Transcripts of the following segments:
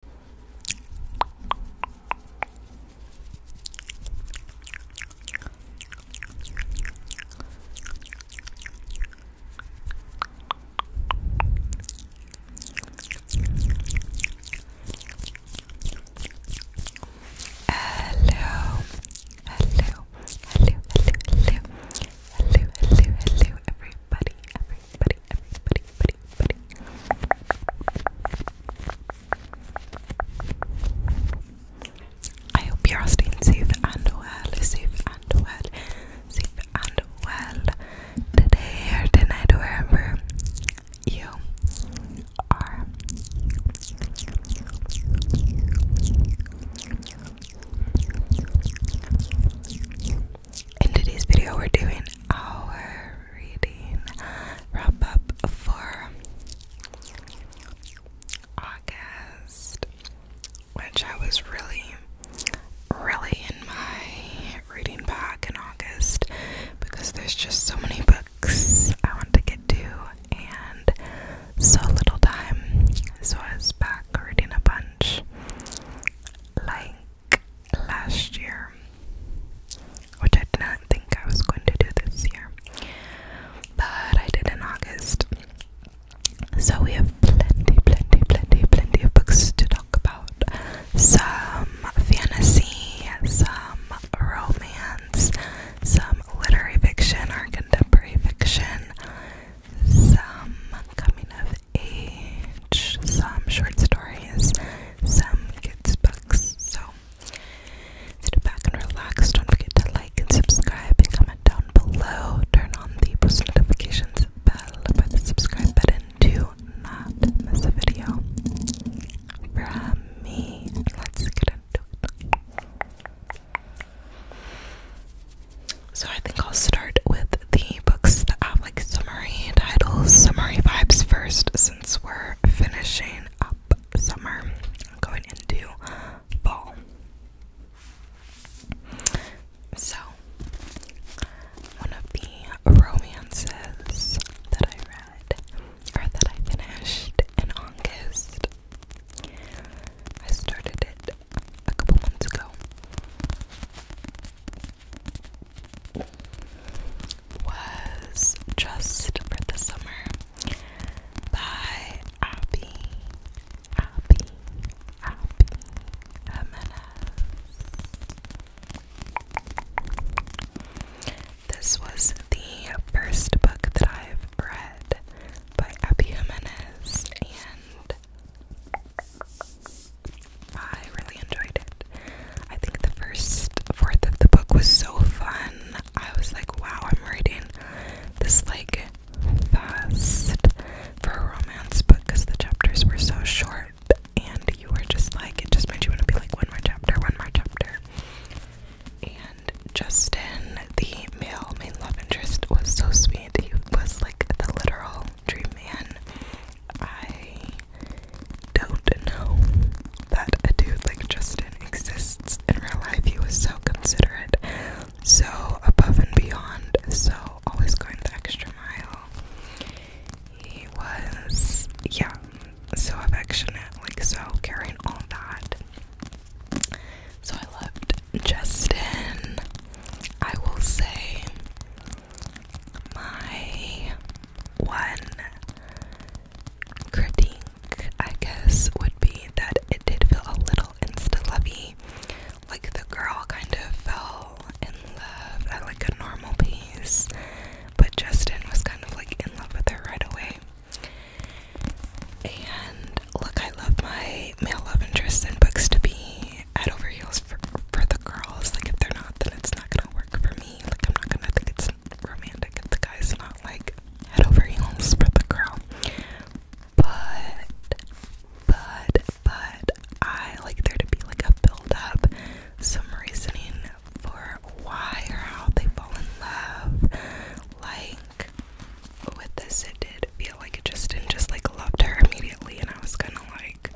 Hello, hello, hello, hello, hello, hello, hello, hello, everybody, everybody, I hope you're all staying safe and well, safe and well, safe and well today or tonight, wherever you are. In today's video, we're doing our reading wrap up for August, which I was really, really in my reading bag in August because there's just so many books I want to get to and so little time. So I was back reading a bunch. Like last year, which I did not think I was going to do this year, but I did in August. So we have plenty, plenty, plenty, plenty of books to talk about. Some fantasy, some romance, some literary fiction or contemporary fiction, some coming of age, some short stories, some kids' books. So sit back and relax. Don't forget to like and subscribe comment down below. Turn on the post notifications bell by the subscribe button to not miss a video. From me, let's get into it. So I think I'll start with the books that i have like summery titles, summery vibes first since we're finishing up summer, going into fall. So, one of the romances that I read or that I finished in August, I started it a couple months ago was Just for the Summer by Abby, Abby, Abby Jimenez. This was the first book that I've read by Abby Jimenez, and I really enjoyed it. I think the first fourth of the book was so fun. I was like, wow, I'm reading this like fast for a romance book because the chapters were so short and you were just like, it just made you want to be like, one more chapter, one more chapter. And Justin, the male main love interest, was so sweet. He was like the literal dream man. I don't know that a dude like Justin exists in real life. He was so considerate, so above and beyond, so always going the extra mile. He was, yeah, so affectionate, like so caring, all that. So I loved Justin. I will say my one critique, I guess, would be that it did feel a little insta lovey. Like the girl kind of fell in love like a normal pace, but Justin was kind of like in love with her right away. And look, I love my male love interests in books to be head over heels for, the girls. Like, if they're not, then it's not gonna work for me. Like, I'm not gonna think it's romantic if the guy's not like head over heels for the girl. But, but, but, I like there to be like a build up, some reasoning for why or how they fall in love. Like, with this, it did feel like it just didn't just like loved her immediately, and I was kind of like,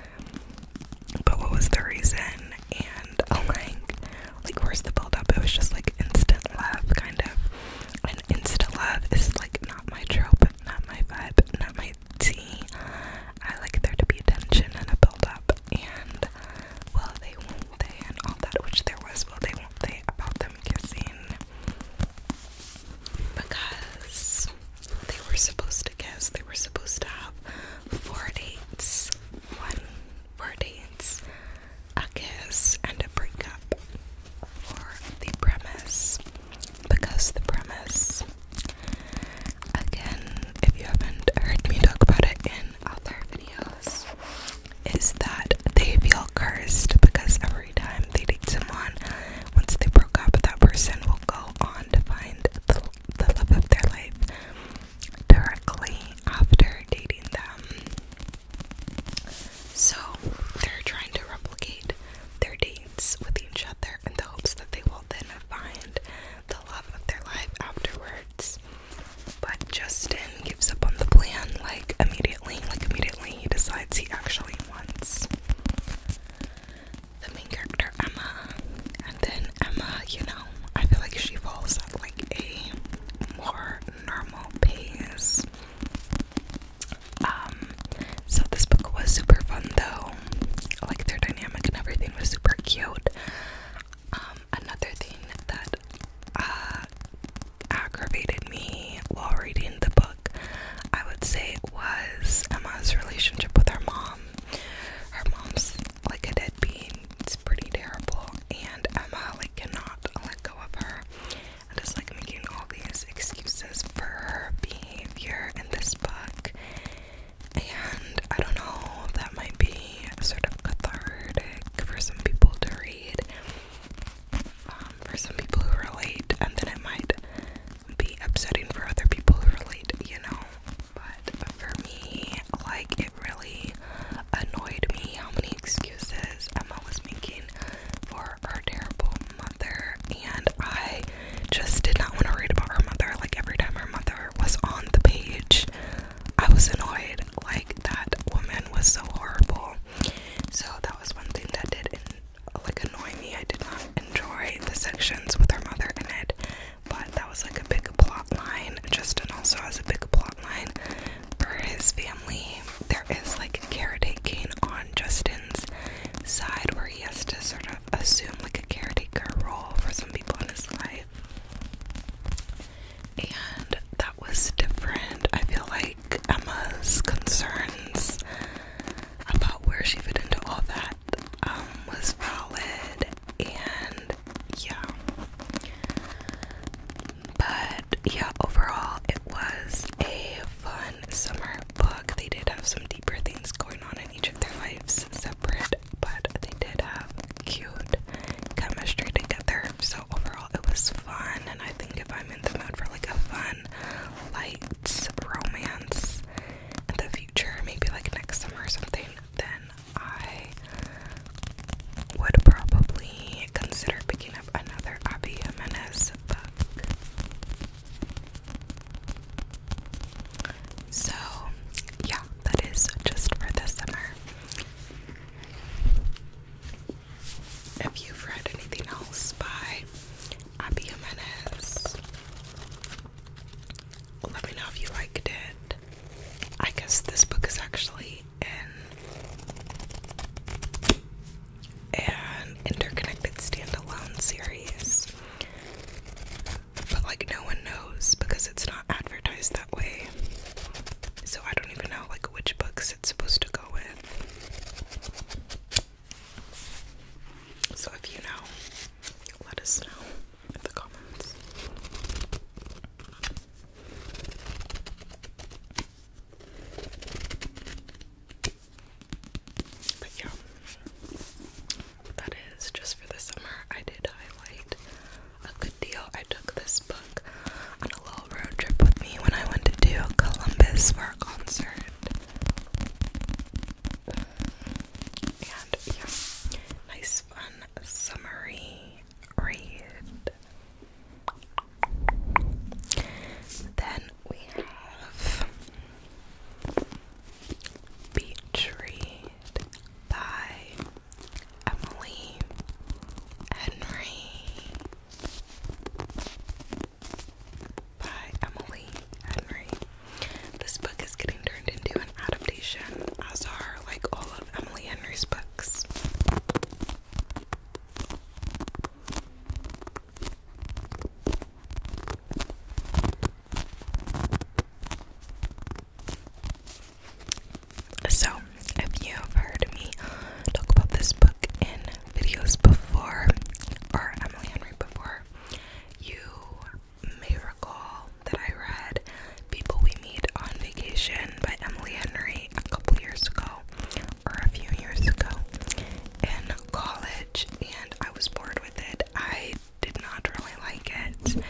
but what was the reason and oh, like like where's the build up it was just like instant love kind of and instant love is like not my trope not my vibe not my tea I like there to be attention and a build up and well they won't they and all that which there was well they won't they about them kissing because they were supposed to kiss they were supposed to have four dates, one four dates, a kiss, and a breakup. Or the premise, because the premise. Again, if you haven't heard me talk about it in other videos, is that they feel cursed because every time they date someone, once they broke up, that person will go on to find the, the love of their life directly after dating them. So they're trying to replicate their dates with each other in the hopes that they will then find the love of their life afterwards. But Justin gives up on the plan like immediately, like immediately he decides he actually wants. The main character Emma and then Emma, you know, I feel like she falls at like a more normal pace. Um, so this book was super fun though. Like their dynamic and everything was super cute. Um, another thing that uh aggravated me while reading the book, I would say was Emma's relationship with her mom. Her mom's like a deadbeat it's pretty terrible. And Emma like cannot let go of her. And is like making all these excuses for her behavior in this book. And I don't know, that might be sort of cathartic for some people to read. Um, for some people who relate, and then it might be upsetting for other people who relate, you know. But for me, like, it really annoyed me how many excuses Emma was making for her terrible mother, and I just did not want to read about her mother. Like, every time her mother was on the page, I was annoyed. Like, that woman was so horrible. So, that was one thing that did, like, annoy me. I did not enjoy the sections with her mother in it but that was like a big plot line. Justin also has a big plot line for his family. There is like caretaking on Justin's side where he has to sort of assume like a caretaker role for some people in his life. And that was different. I feel like Emma's concerns about where she fit into all that um, was valid and yeah. But yeah, overall, it was a fun summer book. They did have some deeper things going on in each of their lives separate, but they did have cute chemistry together. So, overall, it was fun. And I think if I'm in the mood for like a fun, light romance in the future, maybe like next summer or something, then I would probably consider picking up another Abby Jimenez book. So, yeah, that is just for this summer. If you read anything else by Abby Jimenez, let me know if you liked it. I guess this book is actually in an interconnected standalone series. But like no one knows because it's not advertised that way. So I don't even know like which books it's supposed to go with. So if you know, let us know in the comments. But yeah, that is just for the summer. I did highlight a good deal. I took this book on a little road trip with me when I went to do Columbus for a concert. And yeah, nice, fun, summery read. Then we have Beach by Emily Henry. By Emily Henry. This book is getting turned into adaptation, as are like all of Emily Henry's books. So, if you've heard me talk about this book in videos before, or Emily Henry before, you may recall that I read, People We Meet on Vacation by Emily Henry, a couple years ago, or a few years ago, in college, and I was bored with it. I did not really like it,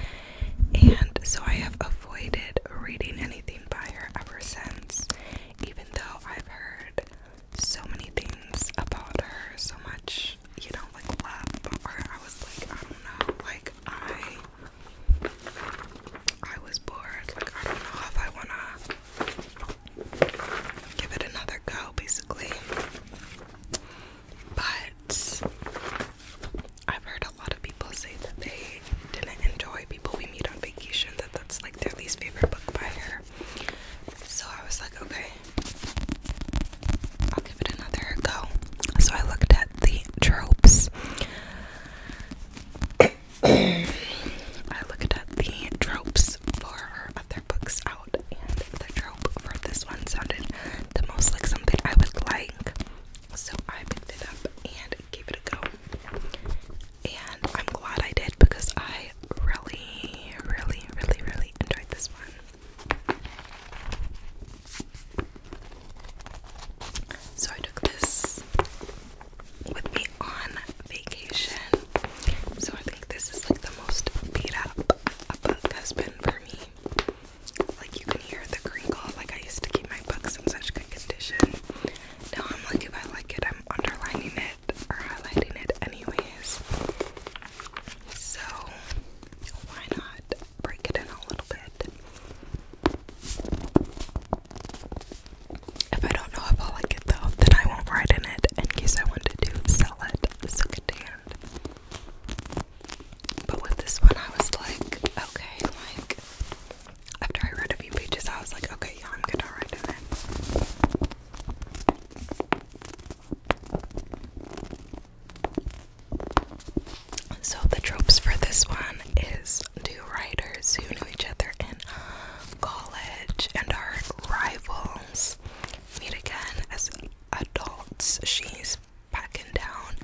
and so I have avoided reading anything by her ever since, even though I've heard so many things about her, so much, you know, like love about I was like, I don't know, like, I I was bored. Like, I don't know if I wanna give it another go, basically. But I've heard a lot of people say that they didn't enjoy people we meet on vacation, that that's like their least favorite book by her. So I was like, okay, give it another go. So I looked at the tropes. I looked at the tropes for her other books out, and the trope for this one sounded the most like something I would like. So I picked it up and gave it a go. And I'm glad I did because I really, really, really, really enjoyed this one. So I took this with me on vacation. So I think this is like the most beat up book has been for me. Like you can hear the crinkle. Like I used to keep my books in such good condition. Now I'm like if I like it, I'm underlining it or highlighting it anyways. So why not break it in a little bit? If I don't know if I'll though, then I won't write in it in case I wanted to sell it secondhand. But with this one, I was like, okay, like, after I read a few pages, I was like, okay, yeah, I'm gonna write in it. So the tropes for this one is two writers who knew each other in college and are rivals meet again as adults. She's packing down,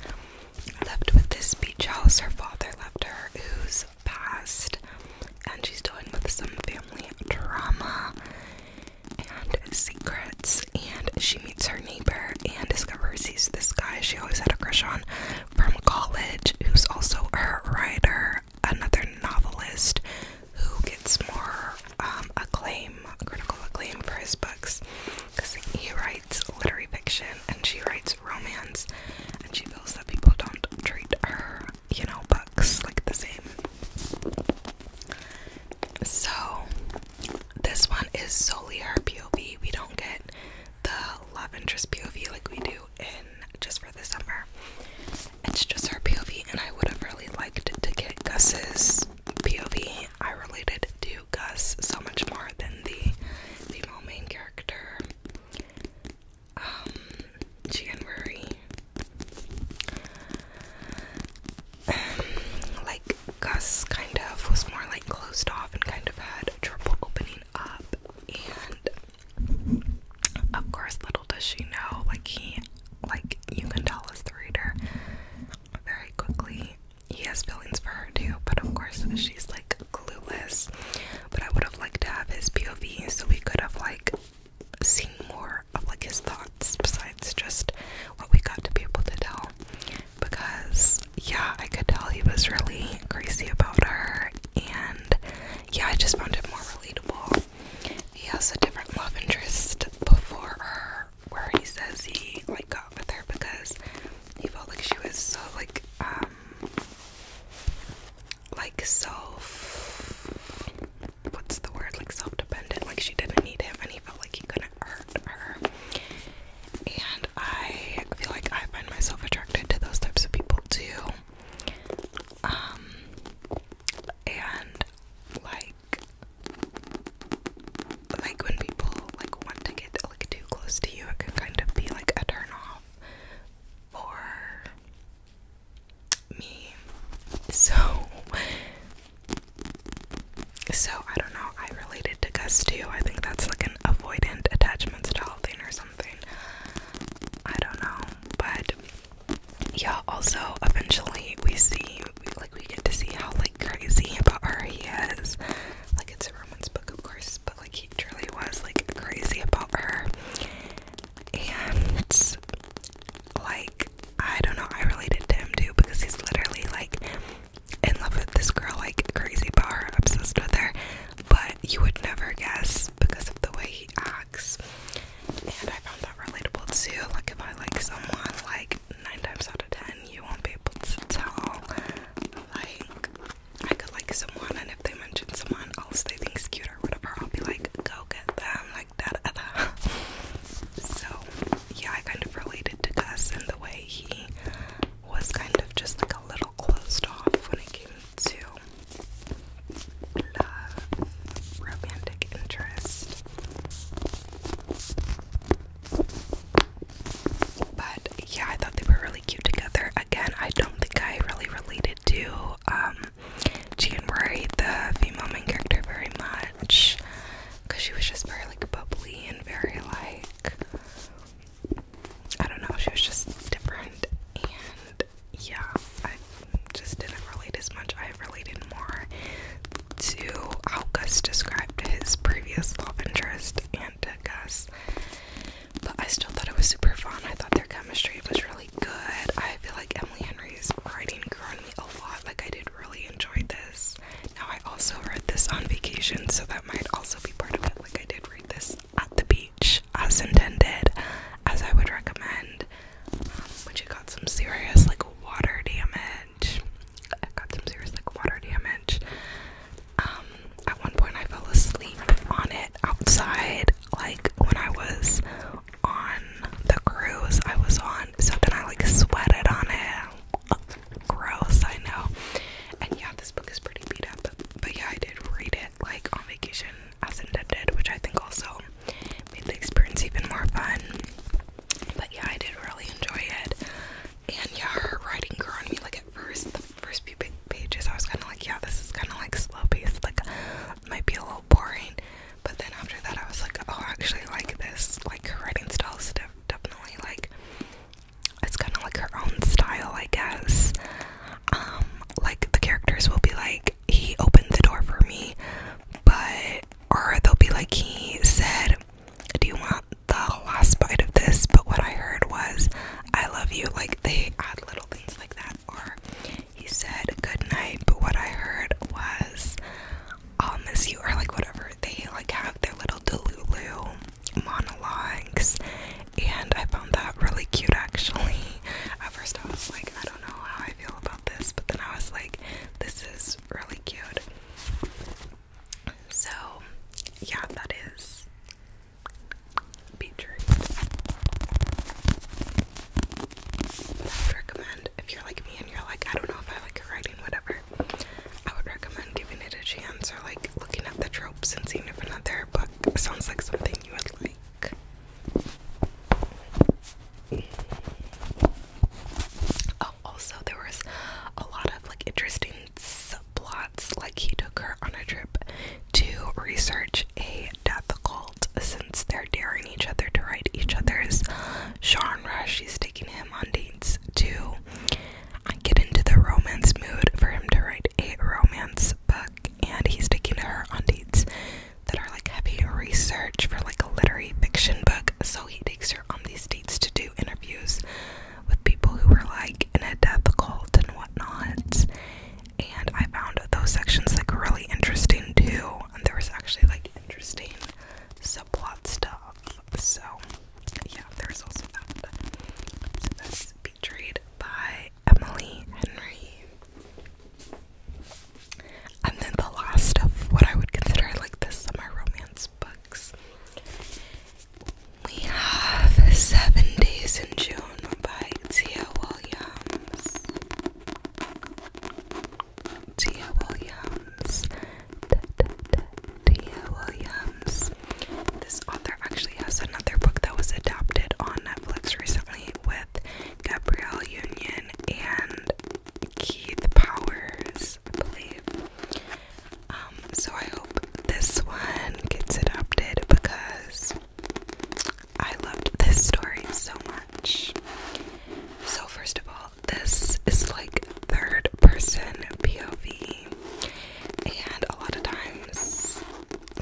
left with this beach house her father left her, who's passed, and she's dealing with some family drama and secrets, and she meets her neighbor and discovers he's this guy she always had a crush on from college, who's also a writer, another novelist who gets more um, acclaim, critical acclaim for his books because he writes literary fiction and she writes romance, and she feels that people don't treat her, you know, books like the same. So, this one is solely her POV. We don't get the love interest POV like we do in Just for the Summer. It's just her POV, and I would have really liked to get Gus's POV. I related to Gus so much more than the female main character, um, January. Um, like Gus kind of was more like closed off and kind of had trouble opening up. And of course, little does she know, like he, like you can tell as the reader very quickly, he has feelings for her too. But of course, she's like clueless. But I would have liked to have his POV so we could have like seen more of like his thoughts besides just what we got to be able to tell because yeah, I could tell he was really crazy about her, and yeah, I just found it more relatable. He has a different love interest before her, where he says he like got with her because he felt like she was so like um like self what's the word like self-dependent like she didn't need him and he felt like he couldn't hurt her and I feel like I find myself attracted to those types of people too. Um, and like, like when people like want to get like too close to you, it can kind of be like a turn off for me. So, so I don't know. I related to Gus too. I think that's like an avoidant attachment style thing or something. I don't know, but yeah. Also, eventually we see, like, we get to see how like crazy about her he is. Like, it's a romance book, of course, but like he truly was like crazy about her, and like I don't know. I related to him too because he's literally like in love with this girl like crazy about her, obsessed with her, but you would never guess because of the way he acts. And I found that relatable too. Like if I like someone, like nine times out of ten, you won't be able to tell. Like I could like someone, and if they mention someone else they think's cute or whatever, I'll be like, go get them, like that. So yeah, I kind of related to Gus and the way he was kind of just like a little closed off when it came to love, romantic interest. But yeah, I thought they were really cute together. Again, I don't think I really related to um G the female main character, very much. Cause she was just very like bubbly and very like I don't know, she was just different and yeah, I just didn't relate as much. I related more to how Gus described his previous love interest and to Gus. But I still thought it was super fun. I thought their chemistry was really good. I feel like Emily Henry's writing grew me a lot. Like, I did really enjoy this. Now, I also read this on vacation, so that might also be part of it. Like, I did this at the beach as intended, as I would recommend. but um, you got some serious like water damage. I got some serious like water damage. Um, at one point I fell asleep on it outside, like when I was on the cruise I was on. So then I like sweated on it gross, I know. And yeah, this book is pretty beat up, but, but yeah, I did read it like on vacation as Indeb did, which I think also made the experience even more fun. But yeah, I did really enjoy it. And yeah, her writing grew on me. Like at first, the first few pages, I was kind of like, yeah, this is kind of like slow paced, like might be a little boring. But then after that, I was like, oh, I actually like this. Like her writing style is def definitely like it's kind of like her own style, I guess. Um, like the characters will be like, he opened the door for me, but or they'll be like, he said, Do you want the last bite of this? But what I heard was, I love you. Like they add little things like that, or he said, Good night, but what I heard was, I'll miss you, or like whatever. They like have their little Delulu monologues and I found that really cute actually. At first, I was like, I don't know how I feel about this, but then I was like, this is really cute. So, yeah, that is beetroot. I would recommend if you're like me and you're like, I don't know if I like writing, whatever. I would recommend giving it a chance or like looking at the trophy tropes and seen if there, but sounds like something you would like. Oh, also there was a lot of like interesting subplots. Like he took her on a trip to research a death cult since they're daring each other to write each other's Sean Rush. She's taking him on dates to get into the romance mood for him to write write a romance book and he's taking her on dates that are like heavy research for like a literary fiction book. So he takes her on these dates to do interviews with people who were like in a death cult and whatnot. And I found those sections like really interesting too. And there was actually like interesting subplot stuff. So yeah, there's also that. So that's B featured by Emily Henry. And then the last of what I would consider like the summer romance books. We have Seven Days in June by Tia Williams. Tia Williams. Tia Williams. This author actually has another book that was adapted on Netflix recently with Gabrielle Union and Keith Powers, I believe. Um, so I hope this one gets adapted because I loved this story so much. So first of all, this is like third person POV and a lot of times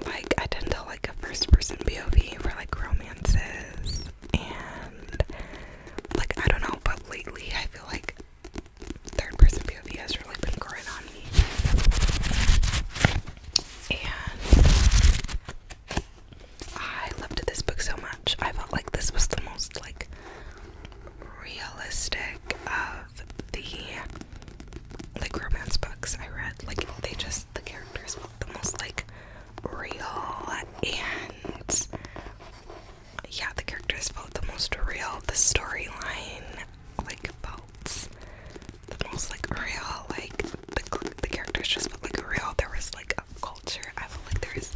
like I tend to like a first person POV for like romances and like I don't know but lately I feel like third person POV has really been growing on me and I loved this book so much I felt like this was the most like realistic of the like romance books I read. Like they just the characters felt the most like real and yeah, the characters felt the most real. The storyline like felt the most like real. Like the the characters just felt like real. There was like a culture. I felt like there was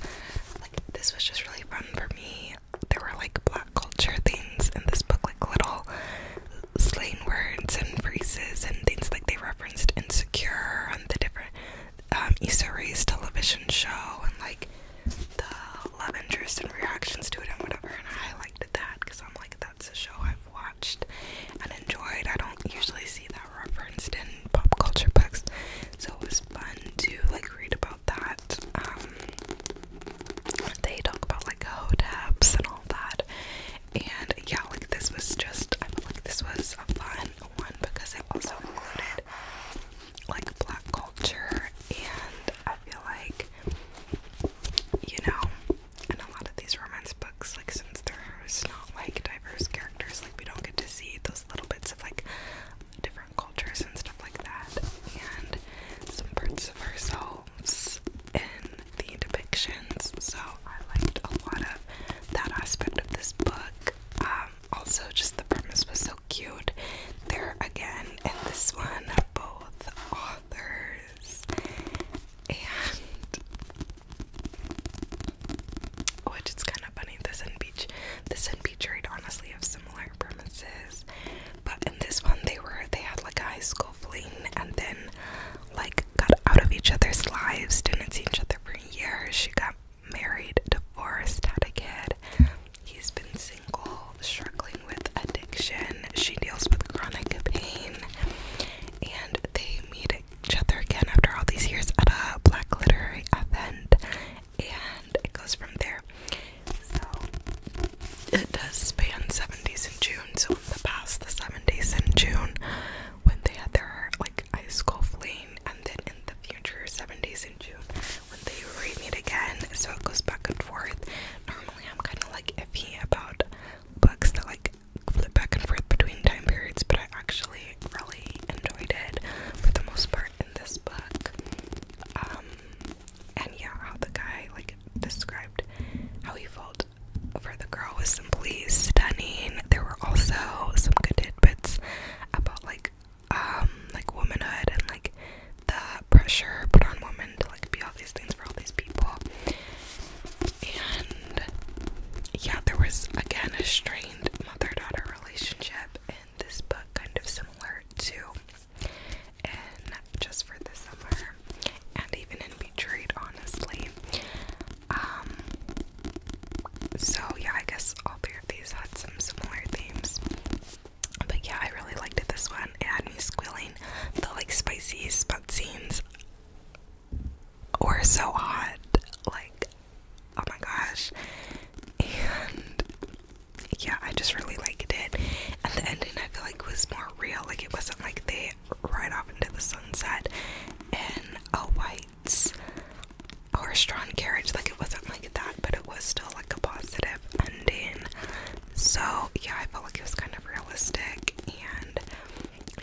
like this was just really fun for me. There were like black culture things in this book, like little Slain words and phrases and things like they referenced Insecure on the different um, Issa television show and like the love interest and reactions to it and whatever. And I liked that because I'm like, that's a show I've watched and enjoyed. I don't usually see that referenced in pop culture books, so it was fun to like read about that. Um, they talk about like hodaps and all that. And yeah, like this was just I feel like this was a fun one because it also included like black culture and I feel like you know, in a lot of these romance books, like since there's not like diverse characters, like we don't get to see those little bits of like different cultures and stuff like that and some parts of her in the depictions, so I liked a lot of that aspect of this book. Um, also, just the premise was so cute. There again in this one, both authors and which is kind of funny. This and Beach, this and Beach Read honestly have similar premises. But in this one, they were they had like high school fling, and then like got out of each other's lives, didn't see each other for years. She got married, divorced, had a kid. He's been single, struggling with addiction. She deals with chronic pain, and they meet each other again after all these years at a black literary event, and it goes from there. So it does span 70s and Jews so in the past the seven days in June when they had their like high school fling and then in the future seven days in June when they remeet again, so it goes back and forth. Normally I'm kinda like iffy about books that like flip back and forth between time periods, but I actually really enjoyed it for the most part in this book. Um, and yeah, how the guy like described how he felt over the girl was simply stunning. There were also some good tidbits about like um like womanhood and like the pressure put on women to like be all these things for all these people. And yeah, there was again a strained mother-daughter relationship and this book, kind of similar to in just for the summer and even in Betrayed, honestly. Um, so yeah, I guess all three of these had some similar themes. But yeah, I really liked it this one. It had me squealing. The like spicy spot scenes were so hot. Like, oh my gosh. And yeah, I just really liked it. And the ending I feel like was more real. Like it wasn't like they ride off into the sunset in a white horse-drawn carriage. Like it wasn't like that, but it was still like a positive ending. So yeah, I felt like it was kind of realistic, and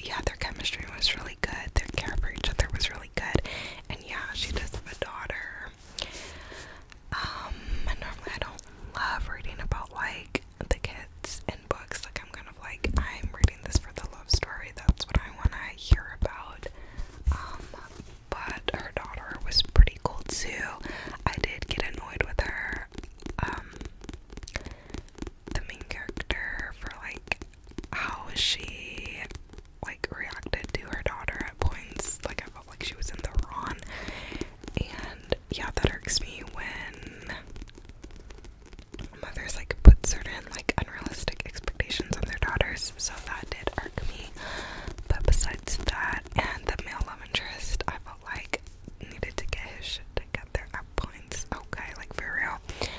yeah, their chemistry was really good. Their care for each other was really good, and yeah, she does have a daughter. Um, normally I don't love reading about like the kids and books. Like I'm kind of like I'm reading this for the love story. That's what I want to hear about. Um, but her daughter was pretty cool too. I did get annoyed with her. Um, the main character for like how she like reacted to her daughter at points. Like I felt like she was in the wrong. And yeah, that irks me when mothers like put certain like unrealistic expectations on their daughters. So that did irk me. But besides that, and the male love interest, I felt like needed to get his shit together at points. Okay, like for real.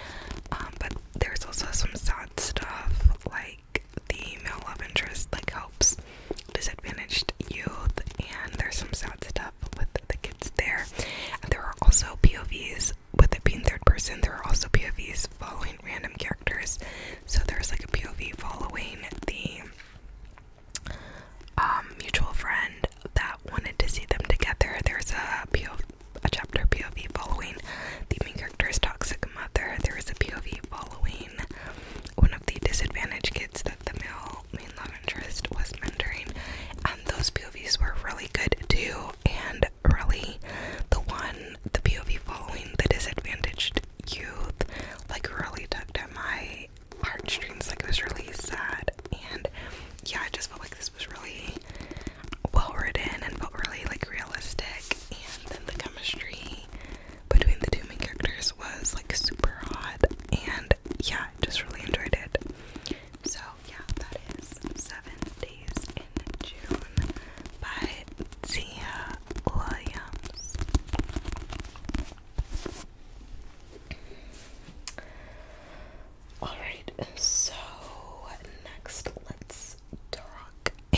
Um, but there's also some sad stuff like the male love interest like helps disadvantaged youth and there's some sad stuff with the kids there. there are also POVs with it being third person. There are also POVs following random characters. So there's like a POV following the um, mutual friend that wanted to see them together. There's a POV, a chapter POV following the main character's toxic mother. There is a POV following one of the disadvantaged kids that the male main love interest was mentoring. And those POVs were really good too. And really, the one, the POV following the disadvantaged youth, like really touched at my heartstrings. Like it was really sad. And yeah, I just felt like this was really well written and felt really like realistic. And then the chemistry between the two main characters was like super hot. And yeah, just really enjoyed it. So yeah, that is Seven Days in June by Tia Williams. Alright, so next let's talk a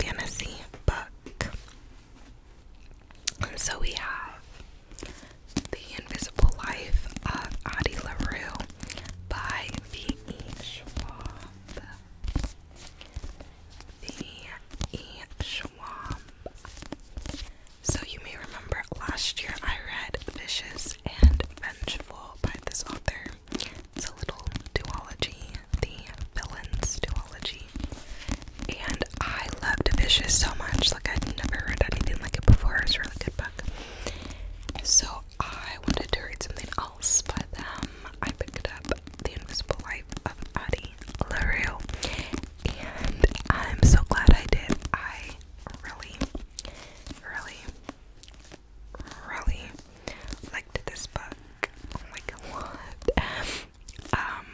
fantasy book. so we have the Invisible Life of Addie LaRue by V.E. Schwab. V.E. Schwab. So, you may remember last year I read Vicious and Vengeful by this author. It's a little duology, the villains duology and I loved Vicious so much. Like I'd never read anything like it before. It's was a really good book. So I wanted to read something else by them. I picked up The Invisible Life of Addie LaRue, and I'm so glad I did. I really, really, really liked this book. Like Um,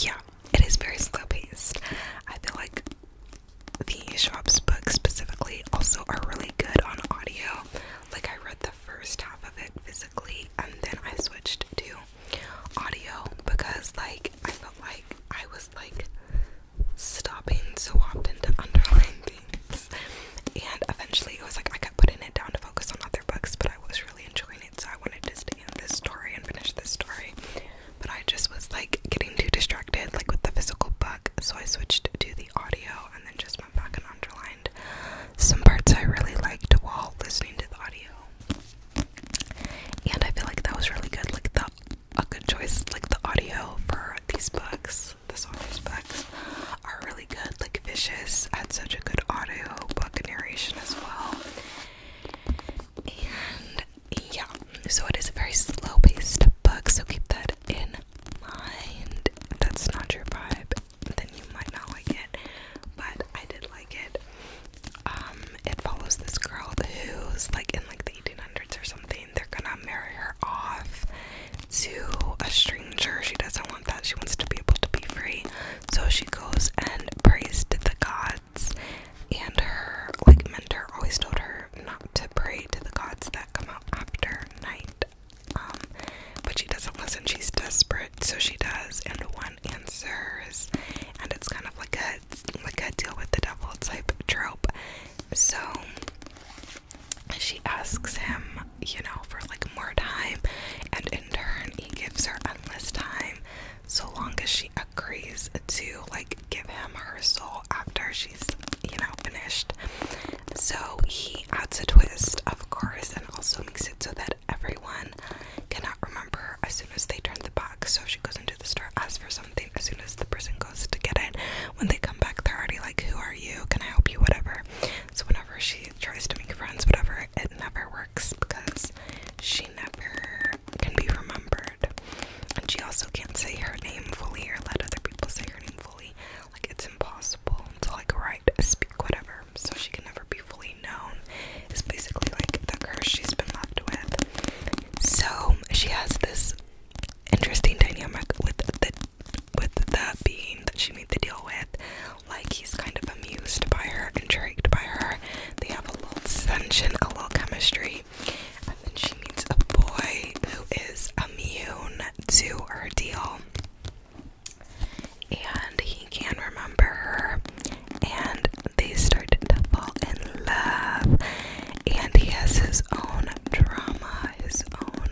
yeah, it is very slow paced. I feel like the shop's books specifically also are really good on audio. Like I read the first half of it physically and then I switched to audio because like I felt like I was like stopping so often to underline things and eventually it was like I kept putting it down to focus on other books but I was really enjoying it. So I wanted to stay this story and finish this story, but I just was like getting too distracted, like with the physical book. So I switched to the audio and then just went back and underlined some parts I really liked while listening to the audio. And I feel like that was really good, like the a good choice, like the audio for these books. This author's books are really good. Like Vicious had such a good audio book narration as well. And yeah, so it is a very slow paced book, so keep that in mind. that's not your vibe, then you might not like it, but I did like it. Um, it follows this girl who's like in like the 1800s or something. They're gonna marry her off to a stranger. She doesn't want that. She wants to be able to be free. So she goes and prays to the gods and her like mentor always told her not to pray to the gods that come out after night. Um, but she doesn't listen, she's desperate, so she does, and one answers, and it's kind of like a like a deal with the devil type trope. So she asks him, you know, for like more time, and in turn he gives her endless time so long as she agrees to like give him her soul after she's you know finished so he adds a twist of course and also makes it so that everyone cannot remember her as soon as they turn the box so she goes into the store asks for something as soon as the person goes to get it when they come back they're already like who are you can i help you whatever so whenever she tries to make friends whatever it never works because she never can be remembered. And she also can't say her name fully or let other people say her name fully. Like it's impossible to like write, speak, whatever. So she can never be fully known. It's basically like the curse she's been left with. So she has this interesting dynamic with the with the being that she made the deal with. Like he's kind of amused by her, intrigued by her, they have a little tension, a little chemistry. And then she meets a boy who is immune to her deal. And he can remember her. And they start to fall in love. And he has his own drama, his own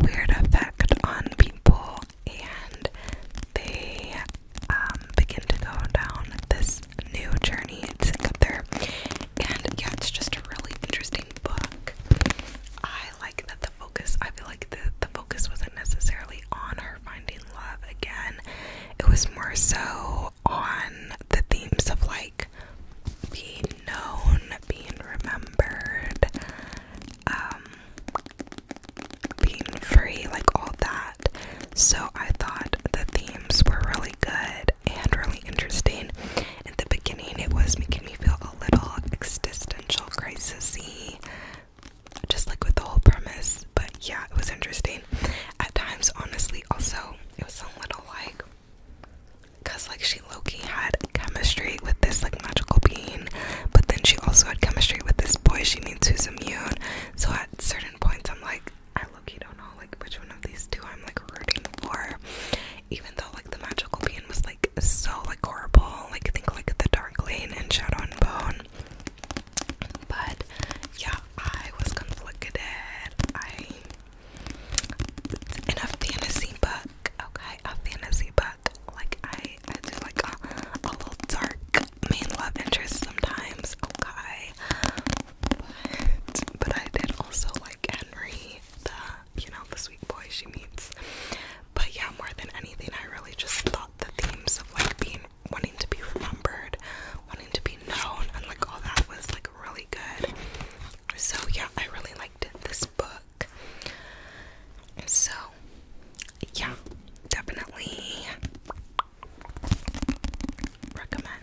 weird effect on people. And they um, begin to go down this new journey to And yeah, it's just a really interesting book. I like that the focus, I feel like the, the focus wasn't necessarily on her finding love again, it was more so on the themes of like being known, being remembered, um, being free, like all that. So I thought the themes were really good and really interesting. At the beginning, it was making me feel a little existential crisisy, just like with the whole premise. But yeah, it was interesting. At times, honestly, also it was a little like, cause like she Loki had chemistry with this like magical being, but then she also had chemistry with this boy she meets who's immune. So at certain points, I'm like, I look, don't know like which one of these two I'm like rooting for. Even though like the magical bean was like so like horrible, like I think like the dark lane and shadow and bone. But yeah, I was conflicted. I in a fantasy book, okay, a fantasy book. Like I, I do like a, a little dark main love interest sometimes, okay. But, I did also like Henry, the, you know, the sweet boy she meets. But yeah, more than anything, I really just thought the themes of like being, wanting to be remembered, wanting to be known, and like all that was like really good. So yeah, I really liked this book. So yeah, definitely recommend.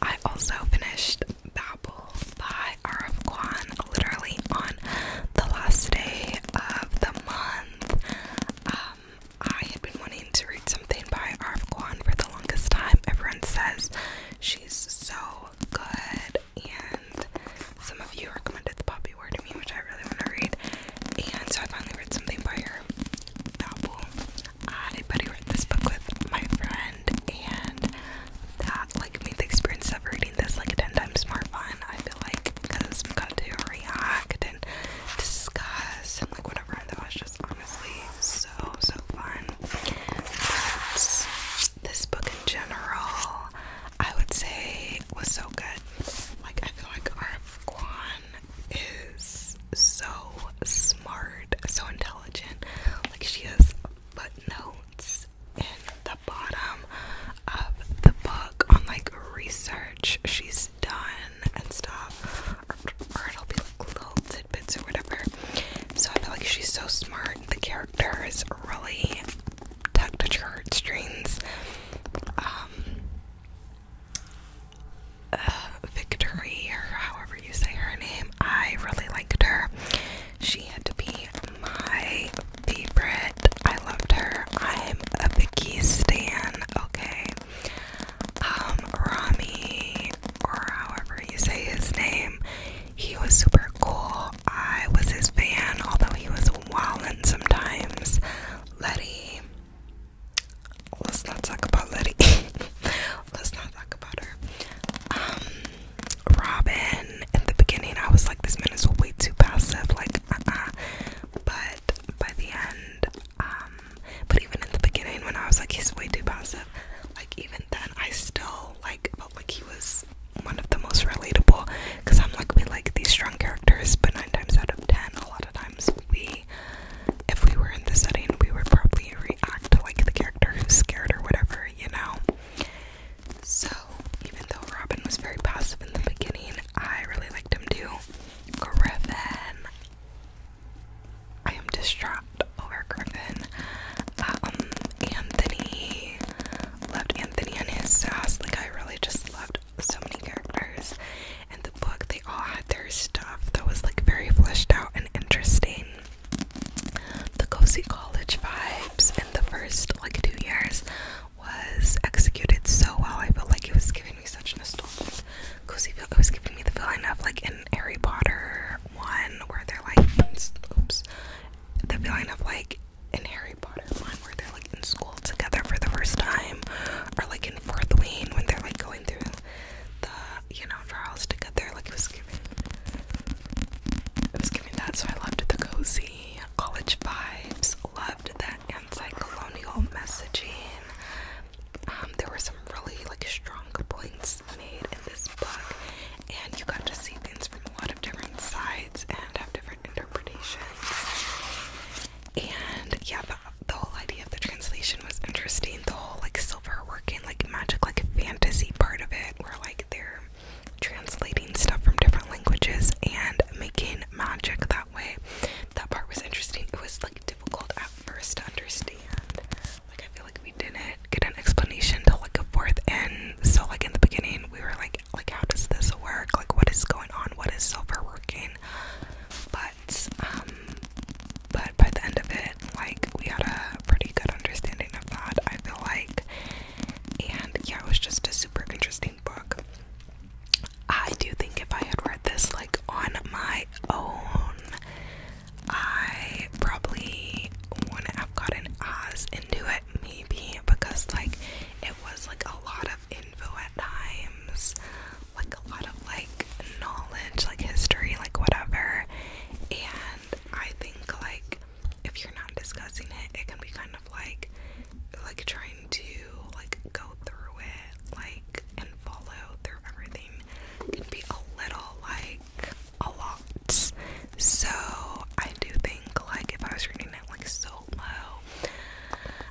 I also finished Babel by Arif Kwan literally on the last day of the month. Um, I had been wanting to read something by Arif Kwan for the longest time. Everyone says she's so good, and some of you recommended The Poppy Word to me, which I really want to read and so I finally read something by her. Novel. I buddy read this book with my friend, and that like made the experience of reading this like ten times more fun. I feel like because we got to react and discuss and like whatever. That was just honestly so so fun. But this book in general, I would say was so good. Like I feel like our Kwan is so smart, so intelligent. Like she has footnotes in the bottom of the book on like research she's done and stuff, or, it'll be like little tidbits or whatever. So I feel like she's so smart. The character is really tugged at your heartstrings. Um, uh, Victory, or however you say her name. I really liked her. She had to be my favorite. I loved her. I'm a Vicky Stan, okay? Um, Rami, or however you say his name, he was super cool. I was his fan, although he was wildin' sometimes. Letty, let's not talk about Letty. let's not talk about her. Um, Robin. In the beginning, I was like, this man is way too passive. Like, uh, uh But by the end, um, but even in the beginning, when I was like, he's way too passive. Like, even then, I still like felt like he was one of the most relatable. Cause I'm like, we like these strong characters, but nine times out of ten, a lot of times we if we were in the setting, we would probably react like the character who's scared or whatever, you know? So, even though Robin was very passive in the beginning, I really liked him too. Griffin. I am distraught over Griffin. Um, Anthony. Loved Anthony and his sass. Like, I really just loved so many characters and the book. They all had their stuff that was like very fleshed out and interesting. The cozy college vibes in the first like two years was executed so well. I felt like it was giving me such nostalgic cozy feel. It was giving me the feeling of like in Harry Potter one where they're like oops the feeling of like in Harry Potter one where they're like in school together for the first time, or like in fourth wing when they're like going through the you know trials to get there. Like, giving, it was giving that. So I loved the cozy college vibes. Loved that anti-colonial messaging. Um, there were some really like strong points made in this book, and you got to see things from a lot of different sides and have different interpretations and yeah, the, whole idea of the translation was interesting. The whole like silver working like magic, like fantasy part of it, where like they're translating stuff from different languages and making magic that way. That part was interesting. It was like difficult at first to understand. Like I feel like we didn't get an explanation till like a fourth end. So like in the beginning, we were like, like how does this work? Like what is going on? What is silver working? But um, but by the end of it, like, we had a pretty good understanding of that, I feel like. And yeah, it was just a super interesting book. I do think if I had read this, like, on my own, I probably wouldn't have gotten as into it, maybe, because, like, it was like a lot of info at times like a lot of like knowledge, like history, like whatever. And I think like if you're not discussing it, it can be kind of like like trying to like go through it, like and follow through everything can be a little like a lot. So I do think like if I was reading it like so solo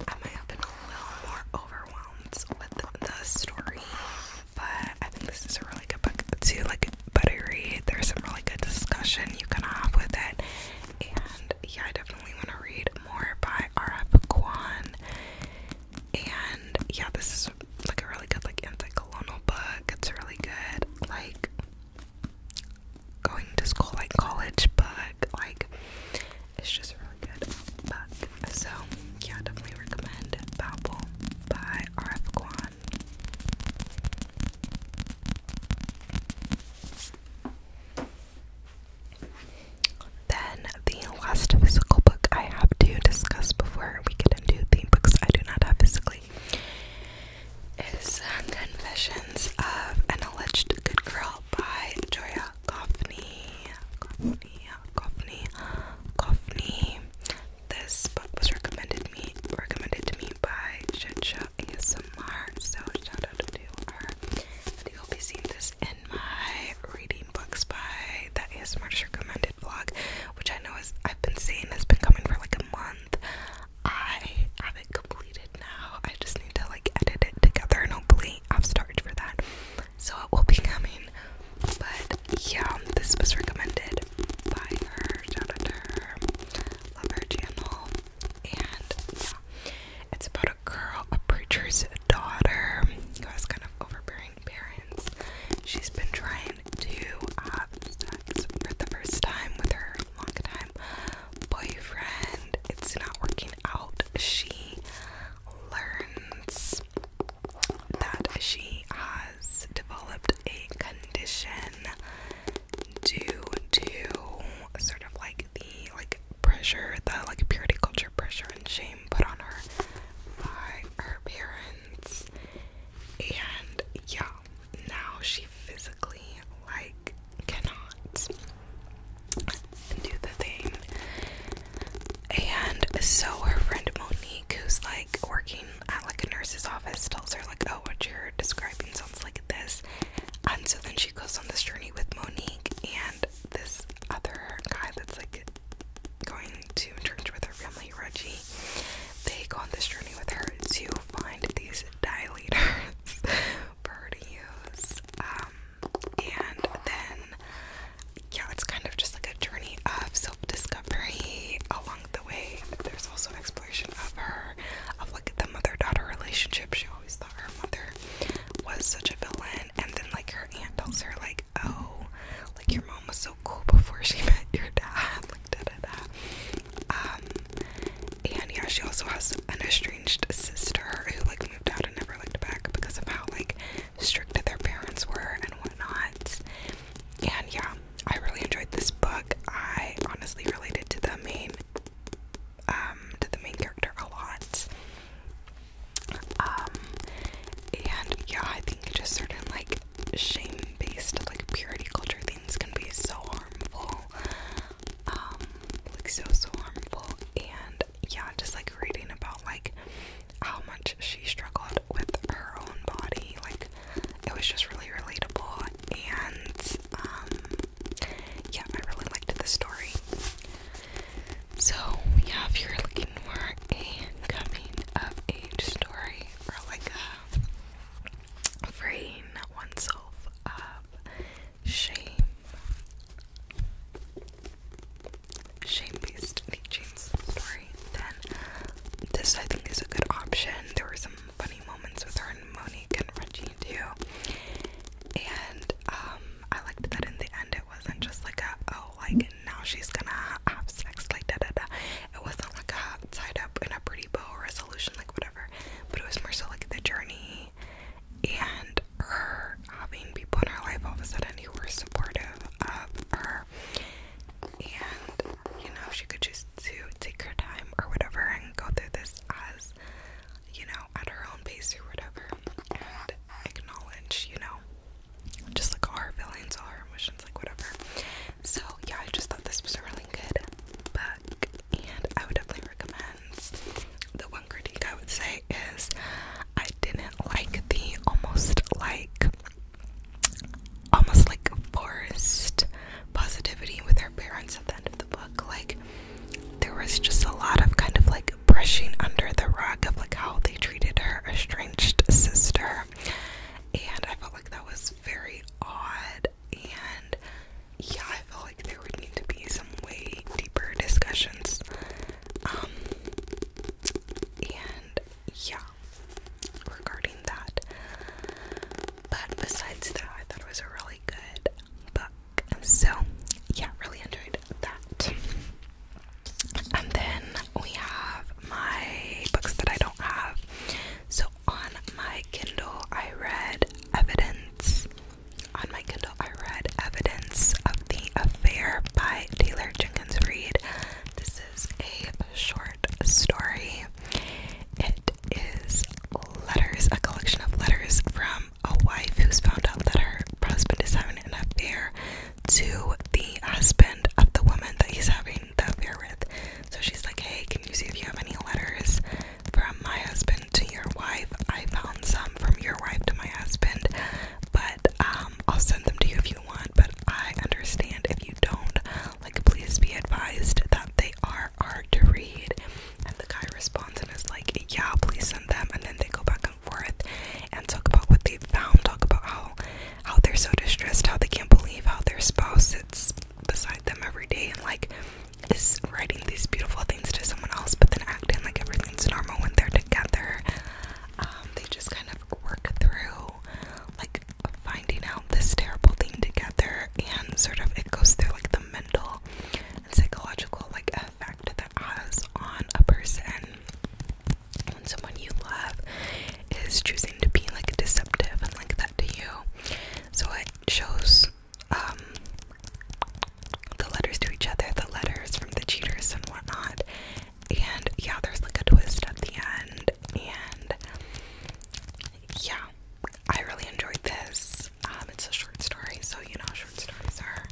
I might have been a little more overwhelmed with the story, but I think this is a really good book to like buttery. There's some really good discussion you can have with it, and yeah, I definitely want to read more by R.F. Kwan. And yeah, this is like a really good like anti-colonial book. It's really good like going to school like college book. Like, it's just really good So, yeah, definitely recommend Babel by R.F. Kwan. Then, the last physical book I have to discuss before we get into the books I do not have physically is Confessions of an Alleged Good Girl by Joya Goffney, Goffney, Goffney, Goffney. This book was recommended me recommended to me by Shitsha ASMR, so shout out to her. And you'll be seeing this in my reading books by that ASMR recommended vlog, which I know is I've been seeing has been coming for like a month. I have it completed now. I just need to like edit it together and hopefully I've started for that so it will be coming. But yeah, this was recommended by her. Shout Love her channel. And yeah, it's about a girl, a preacher's daughter, who has kind of overbearing parents. She's been trying to have sex for the first time with her long time boyfriend. It's not working out. She learns that she has developed a condition due to sort of like the like pressure, the like purity culture pressure and shame put on her by her parents. And yeah, now she physically like cannot do the thing. And so her friend Monique, who's like working at like a nurse's office, tells her like, "Oh, what you're describing sounds like this." And so then she goes on this journey with Monique and this other guy that's like going to church with her family, Reggie. They go on this journey with her to find these dilators for her to use. Um, and then yeah, it's kind of just like a journey of self-discovery along the way. There's also exploration of her, of like the mother-daughter relationship. She always thought her mother was such a villain, and then like her aunt tells her like, "Oh, like your mom was so cool before she met your dad." Like da da da. Um, and yeah, she also has an estranged sister who like moved out and never looked back because of how like strict that their parents were and whatnot. And yeah, I really enjoyed this book. I honestly related to the main um to the main character a lot. Um and yeah, I think just certain like shame-based like purity culture things can be so harmful. Um like so so harmful and yeah, just like reading about like how much she struggled with her own body, like it was just really relatable and um yeah, I really liked the story. So yeah, if you're looking for a coming of age story or like freeing oneself of shame shame-based knee story, then this I think is a good option. There were some funny moments with her and Monique and Reggie too. And um I liked that in the end it wasn't just like a oh like now she's gonna have sex like da da da. It wasn't like a tied up in a pretty bow resolution like whatever. But it was more so like the journey and her having people in her life all of a sudden who were supportive of her. And, you know, she could choose to take her time or whatever and go through this as, you know, at her own pace or whatever. And acknowledge, you know, just like all her feelings, all her emotions, like whatever. So, yeah, I just thought this was a really good book. And I would definitely recommend the one critique I would say is I didn't like the almost like almost like forced positivity with her parents at the end of the book. Like there was just a lot of kind of like brushing under the rug of like how they treated her estranged sister. And I felt like that was very odd and yeah, I felt like there would need to be some way deeper discussions. Um and yeah, regarding that. But besides that, I thought it was a really good book. So yeah, really enjoyed that. And then we have my books that I don't have. So on my Kindle, I read Evidence. On my Kindle, I read Evidence of the Affair by Taylor Jenkins Reid. This is a short story. It is letters, a collection of letters from a wife who's found out that her husband is having an affair to the husband of the woman that he's having the affair with. So she's like, Hey, can you see if you have any letters from my husband to your wife? I found some from your wife to my husband but um, I'll send them to you if you want. But I understand if you don't. Like, please be advised that they are hard to read. And the guy responds and is like, "Yeah, please send them." And then they go back and forth and talk about what they found, talk about how how they're so distressed, how they can't believe how their spouse sits beside them every day and like is writing these beautiful things to someone else, but then acting like everything's normal when they're together. Um, they just kind of work through like finding out this terrible thing together and sort of it goes through like the mental and psychological like effect that has on a person when someone you love is choosing to be like deceptive and like that to you. So it shows um, the letters to each other, the letters from the cheaters and whatnot, and yeah, there's like a twist at the end. And yeah, I really enjoyed this. Um, it's a short story, so you know, short stories are,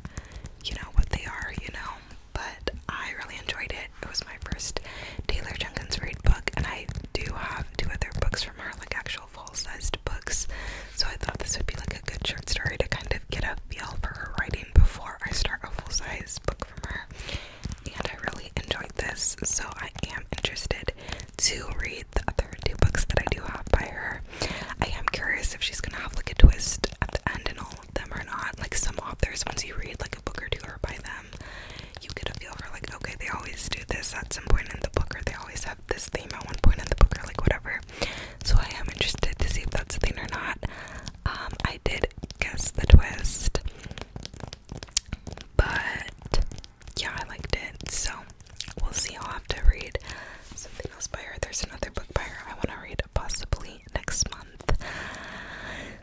you know, what they are, you know. But I really enjoyed it. It was my first Taylor Jenkins read book, and I do have two other books from her, like actual full sized books. So I thought this would be like a good short story to kind of get a feel for her writing before I start a full size book from her. And I really enjoyed this, so I am interested to read the other two books that I do have by her. I am curious if she's gonna have like a twist at the end in all of them or not. Like some authors, once you read like a book or two by them, you get a feel for like, okay, they always do this at some point in the book, or they always have this theme at one point in the book, or like whatever. So I am interested to see if that's a thing or not. Um, I did guess the twist, but yeah, I liked it. So we'll see. I'll have to read something else by her. There's another book by her I want to read possibly next month.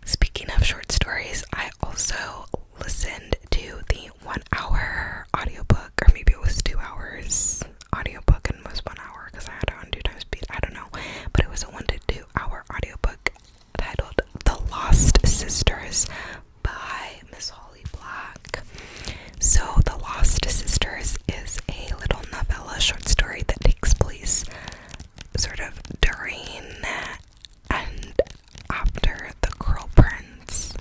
Speaking of short stories, I also listened to the one hour audiobook, or maybe it was two hours audiobook and was one because I had it on times speed. I don't know, but it was a one to two hour audiobook titled "The Lost Sisters" by Miss Holly Black. So, "The Lost Sisters" is a little novella, short story that takes place sort of during and after "The Girl Prince"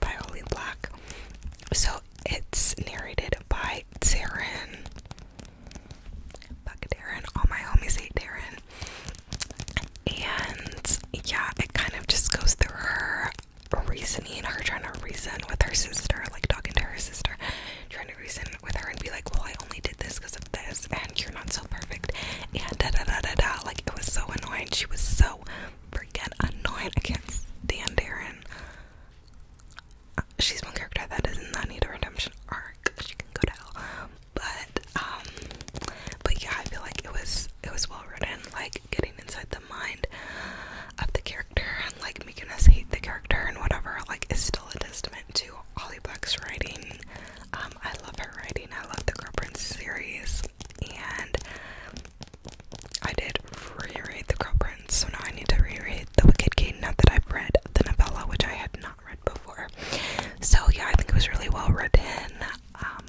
by Holly Black. So it's narrated by Taryn Fuck Darren. All my homies hate Darren. And yeah, it kind of just goes through her reasoning, her trying to reason with her sister, like talking to her sister, trying to reason with her and be like, well, I only did this because of this, and you're not so perfect, and da da da da da. Like, it was so annoying. She was so freaking annoying. I can't stand Darren she's one character that does not need a redemption arc. She can go to hell. But um, but yeah, I feel like it was it was well written, like getting inside the mind of the character and like making us hate the character and whatever, like is still a testament to Holly Black's writing. Um, I love her writing, I love the Girl Prince series and I did reread the Girl so now I need to reread The Wicked King now that I've read the novella, which I had not read before. So, yeah, I think it was really well written. Um,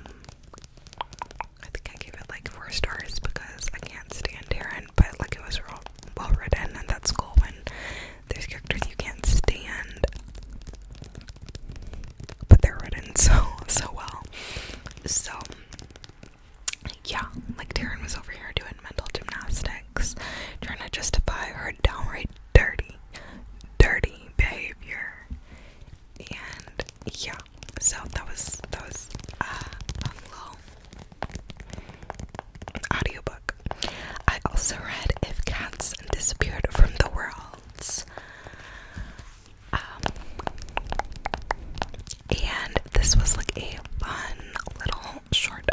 I think I gave it like four stars because I can't stand Darren, but like it was real, well written, and that's cool when there's characters you can't stand, but they're written so, so well. So, yeah, like Darren was over here doing mental gymnastics, trying to justify her downright dirty, dirty behavior. And yeah, so that was that was uh, a little audiobook. I also read If Cats Disappeared from the World*, um, and this was like a fun little short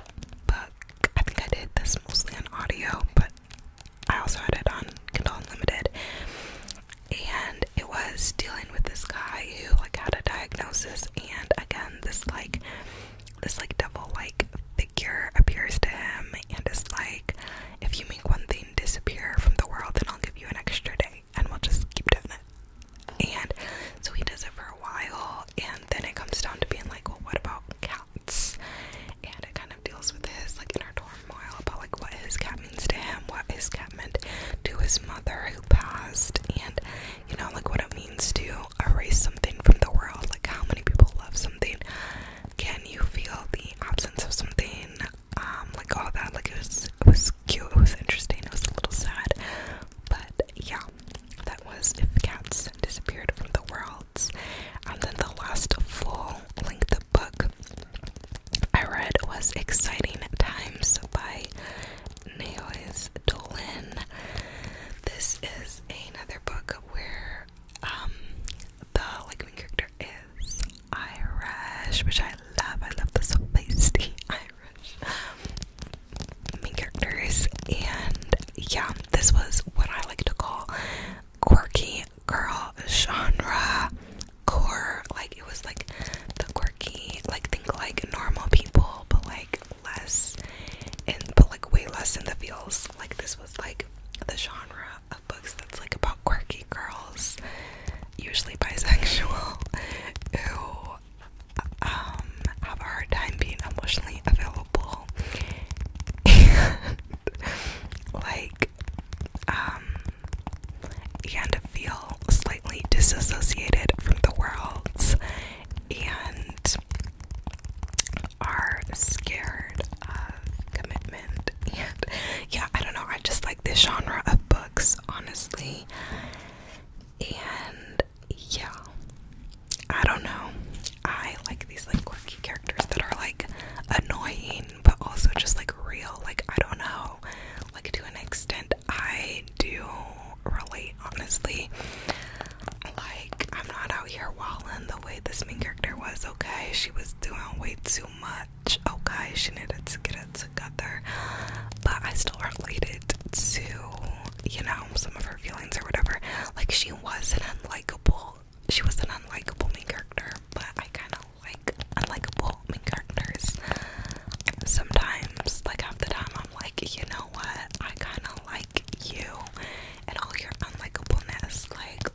book. I think I did this mostly on audio, but I also had it on Kindle Unlimited. And it was dealing with this guy who like had a diagnosis and again this like this like devil like figure appears to him and it's like if you make one thing disappear from the world then I'll give you an extra day and we'll just keep doing it. And so he does it for a while and then it comes down to being like, well, what about cats? And it kind of deals with his like in inner turmoil about like what his cat means to him, what his cat meant to his mother who passed, and you know, like what it means to erase something from the world, like how many people love something. Can you feel the absence of something? Um, like all that, like it was it was cute, it was interesting, it was a little sad. But yeah, that was If Cats Disappeared from the world, And then the last full length of book I read was Exciting Times by Naois Dolan. This is another book where um the like main character is Irish, which I love. I love the so feisty Irish main characters, and yeah, this was what I like to call quirky girl genre core. Like it was like the quirky, like think like normal people, but like less and but like way less in the feels. Like this was like the genre of books that's like about quirky girls, usually bisexual, who um have a hard time being emotionally available people and like um began to feel slightly disassociated from the world and are scared of commitment and yeah I don't know I just like this genre of books honestly and yeah, I don't know. I like these like quirky characters that are like annoying but also just like real. Like, I don't know, like to an extent, I do relate honestly. Like, I'm not out here walling the way this main character was, okay? She was doing way too much, okay? She needed to get it together, but I still related to you know, some of her feelings or whatever. Like she was an unlikable she was an unlikable main character, but I kinda like unlikable main characters. Sometimes, like half the time I'm like, you know what, I kinda like you and all your unlikableness, like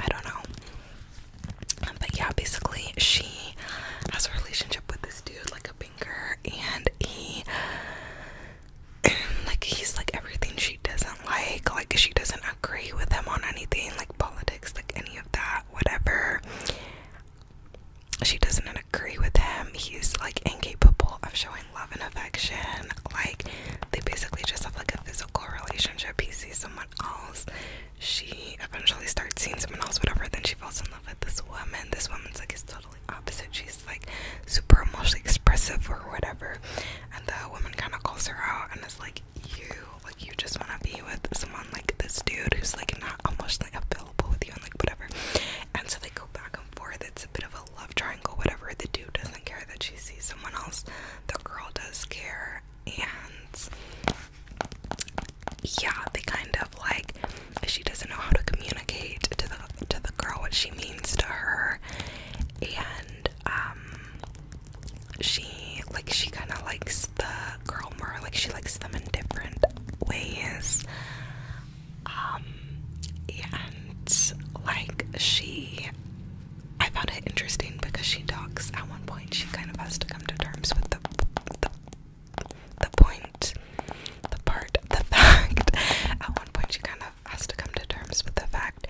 I don't know. But yeah, basically she has a relationship with this dude, like a banker, and he and, like he's like everything she doesn't like like she doesn't agree with him on anything like politics like any of that whatever she doesn't agree with him he's like incapable of showing love and affection like they basically just have like a physical relationship he sees someone else she eventually starts seeing someone else whatever then she falls in love with this woman this woman's like his total opposite. She's like super emotionally expressive or whatever. And the woman kind of calls her out and is like, You, like, you just want to be with someone like this dude who's like not emotionally available with you and like whatever. And so they go back and forth. It's a bit of a love triangle, whatever. The dude doesn't care that she sees someone else, the girl does care. And yeah, they kind of like she doesn't know how to communicate to the to the girl what she means to her, and um she like she kind of likes the girl more like she likes them in different ways um and like she I found it interesting because she talks at one point she kind of has to come to terms with the the, the point the part the fact at one point she kind of has to come to terms with the fact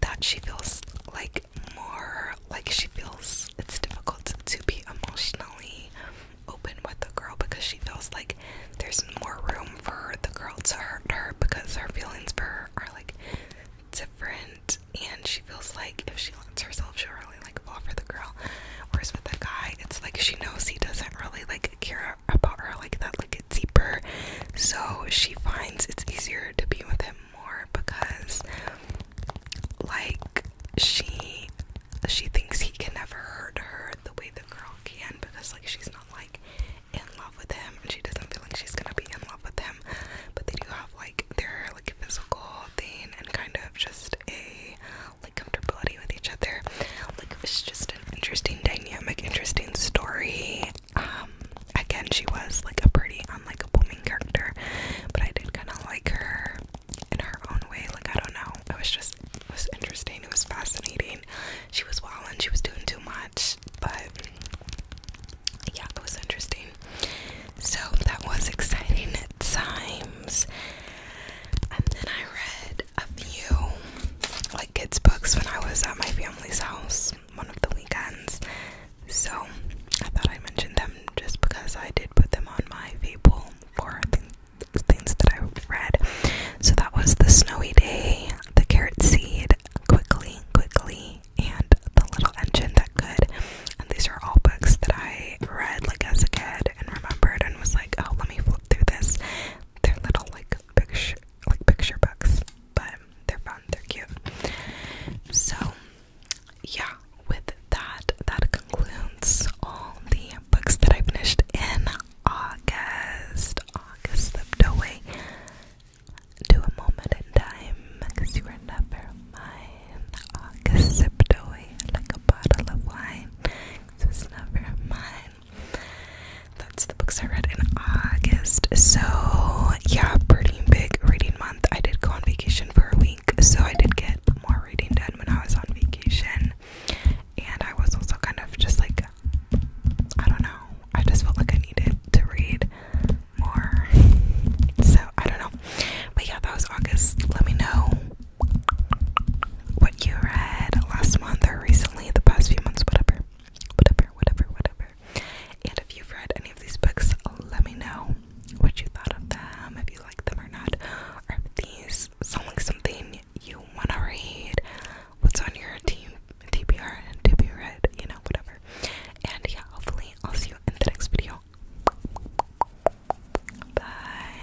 that she feels like more like she feels it's difficult to be emotionally open with the girl because she feels like there's more room for the girl to hurt her because her feelings for her are like different and she feels like if she lets herself she'll really like fall for the girl whereas with the guy it's like she knows he doesn't really like care about her like that, like it's deeper. So she finds it's easier to be with him more because, like, she she thinks he can never hurt her the way the girl can because, like, she's not like in love with him and she doesn't feel like she's gonna be in love with him. But they do have like their like physical thing and kind of just a like comfortability with each other. Like it was just interesting dynamic, interesting story. Um, again, she was like a pretty unlike a booming character, but I did kind of like her in her own way. Like I don't know, it was just it was interesting. It was fascinating. She was wilding. She was doing too much, but yeah, it was interesting. So that was exciting at times. And then I read a few like kids books when I was at my family's house one of the weekends. So I thought I mentioned them just because I did put them on my Fable for thing things that I read. So that was The Snowy Day, The Carrot Seed, Quickly, Quickly, and The Little Engine That Could. And these are all books that I read like as a kid and remembered and was like, oh, let me flip through this. They're little like picture like picture books but they're fun, they're cute. So, yeah, with that, that concludes all the books that I finished in August. August slipped away to a moment in time because you were never mine. August slipped away like a bottle of wine. It was never mine. That's the books I read in August. So, yeah, pretty big reading month. I did go on vacation for a week, so I did get more reading done when I was on vacation. And I was also kind of just like, I don't know, I just felt like I needed to read more. So, I don't know. But yeah, that was August. Let me know what you read last month or recently, the past few months, whatever whatever, whatever, whatever. And if you've read any of these books, let me know what you thought of them, if you like them or not, or these sound like something you want to read, what's on your team, TBR, and to you know, whatever. And yeah, hopefully, I'll see you in the next video. Bye.